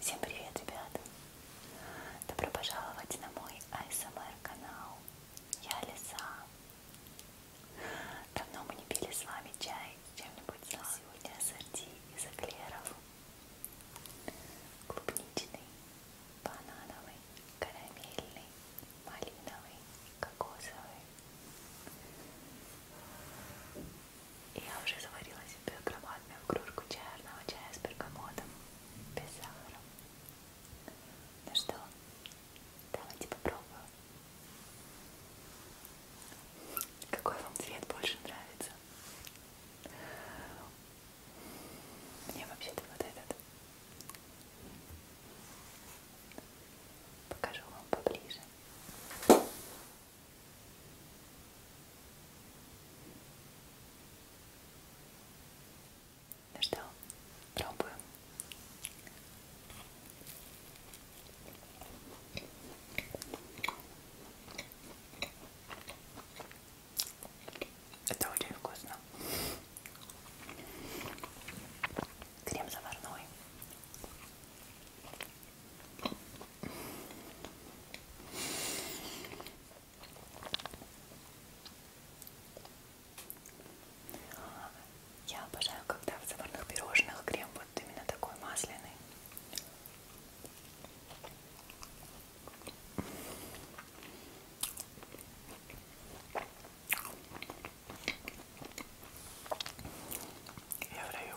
Всем привет, ребята! Добро пожаловать на мой ASMR эм канал. Я Лиса. Давно мы не пили с вами чай с чем-нибудь сладким. Сегодня ассорти из эклеров. Клубничный, банановый, карамельный, малиновый, кокосовый. Я уже заварила себе громадную кружку черного чая с бергамотом без сахара. Ну что, Давайте попробуем. Какой вам цвет больше нравится? Мне вообще-то вот этот. Покажу вам поближе. Ну что, пробуем. Это очень вкусно. Крем заварной. Я обожаю, когда в заварных пирожных крем вот именно такой масляный. Я в раю.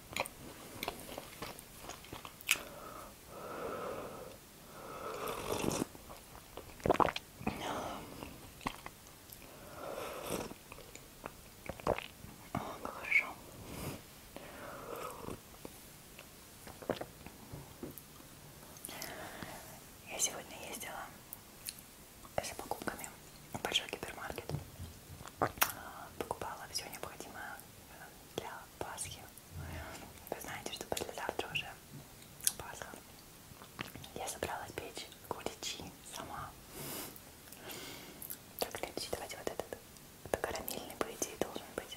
Хорошо. Я сегодня ездила за покупками большой гипермаркет. А, покупала все необходимое для Пасхи. Вы знаете, что послезавтра уже Пасха. Я собралась печь куличи сама. Так, следующий, давайте вот этот. Это карамельный, по идее, должен быть.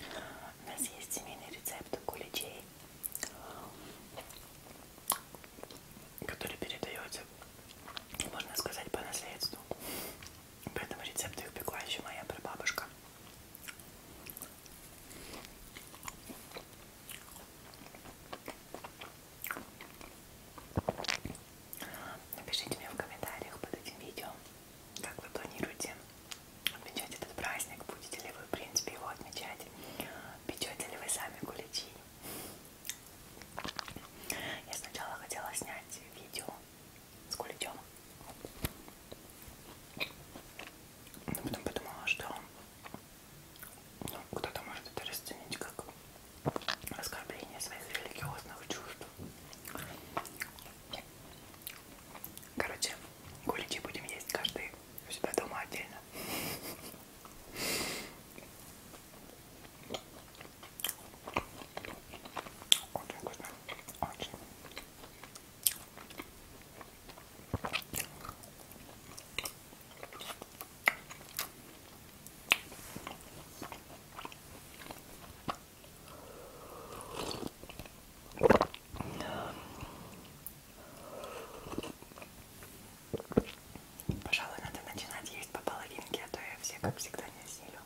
У нас есть семейный рецепт куличей, который передается, можно сказать, по наследству. Поэтому рецепт их пекла еще моя прабабушка. Напишите мне в комментариях под этим видео, как вы планируете отмечать этот праздник? Будете ли вы, в принципе, его отмечать? Печете ли вы сами куличи? Я сначала хотела снять видео с куличом, но потом подумала, что ну, кто-то может это расценить как оскорбление своих религиозных чувств. Короче, куличи будем есть каждый у себя дома отдельно. Очень вкусно. Очень. Пожалуй, надо начинать есть по половинке, а то я все, как всегда, не осилю.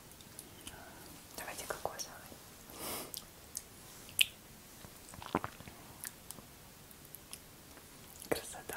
Давайте кокосовый. Красота.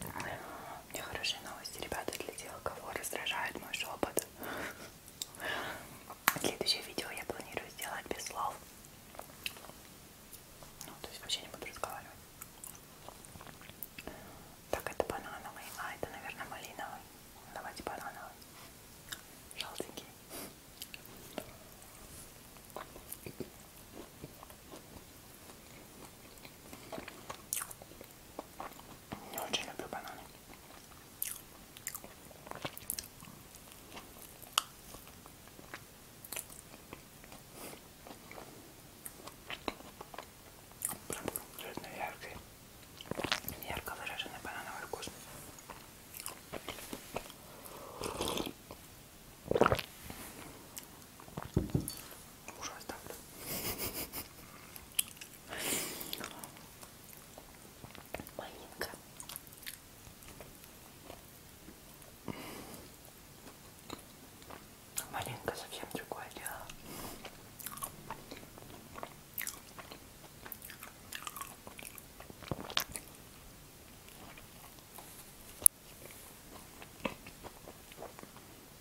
У меня хорошие новости, ребята, для тех, кого раздражает мой шепот. Следующее видео я планирую сделать без слов. Ну, то есть вообще не буду разговаривать. Так, это банановый, а это, наверное, малиновый. Давайте банановый. Желтенький. Не очень люблю бананы. Прям конкретно яркий, ярко выраженный банановый вкус. Мужа оставлю. Малинка. Малинка совсем другое дело.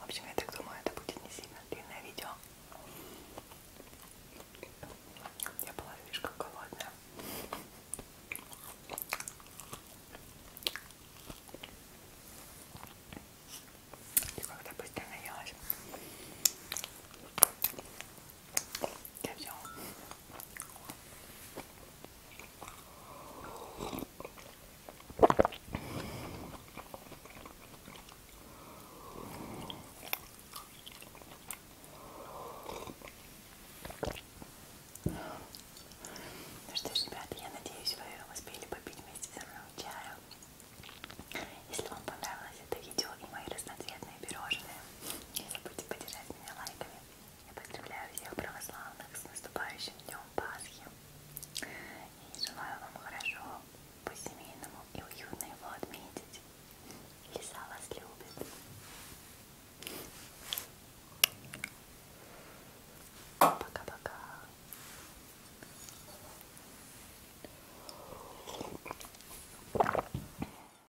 В общем, я так думаю, это будет не сильно длинное видео. Я была слишком голодная. И когда быстро наелась. Я взяла. Ну что ж, ребята, я надеюсь, вы успели попить вместе со мной чаю. Если вам понравилось это видео и мои разноцветные пирожные, не забудьте поддержать меня лайками, я поздравляю всех православных с наступающим днем Пасхи. И желаю вам хорошо, по-семейному и уютно его отметить. Лиса вас любит. Пока-пока.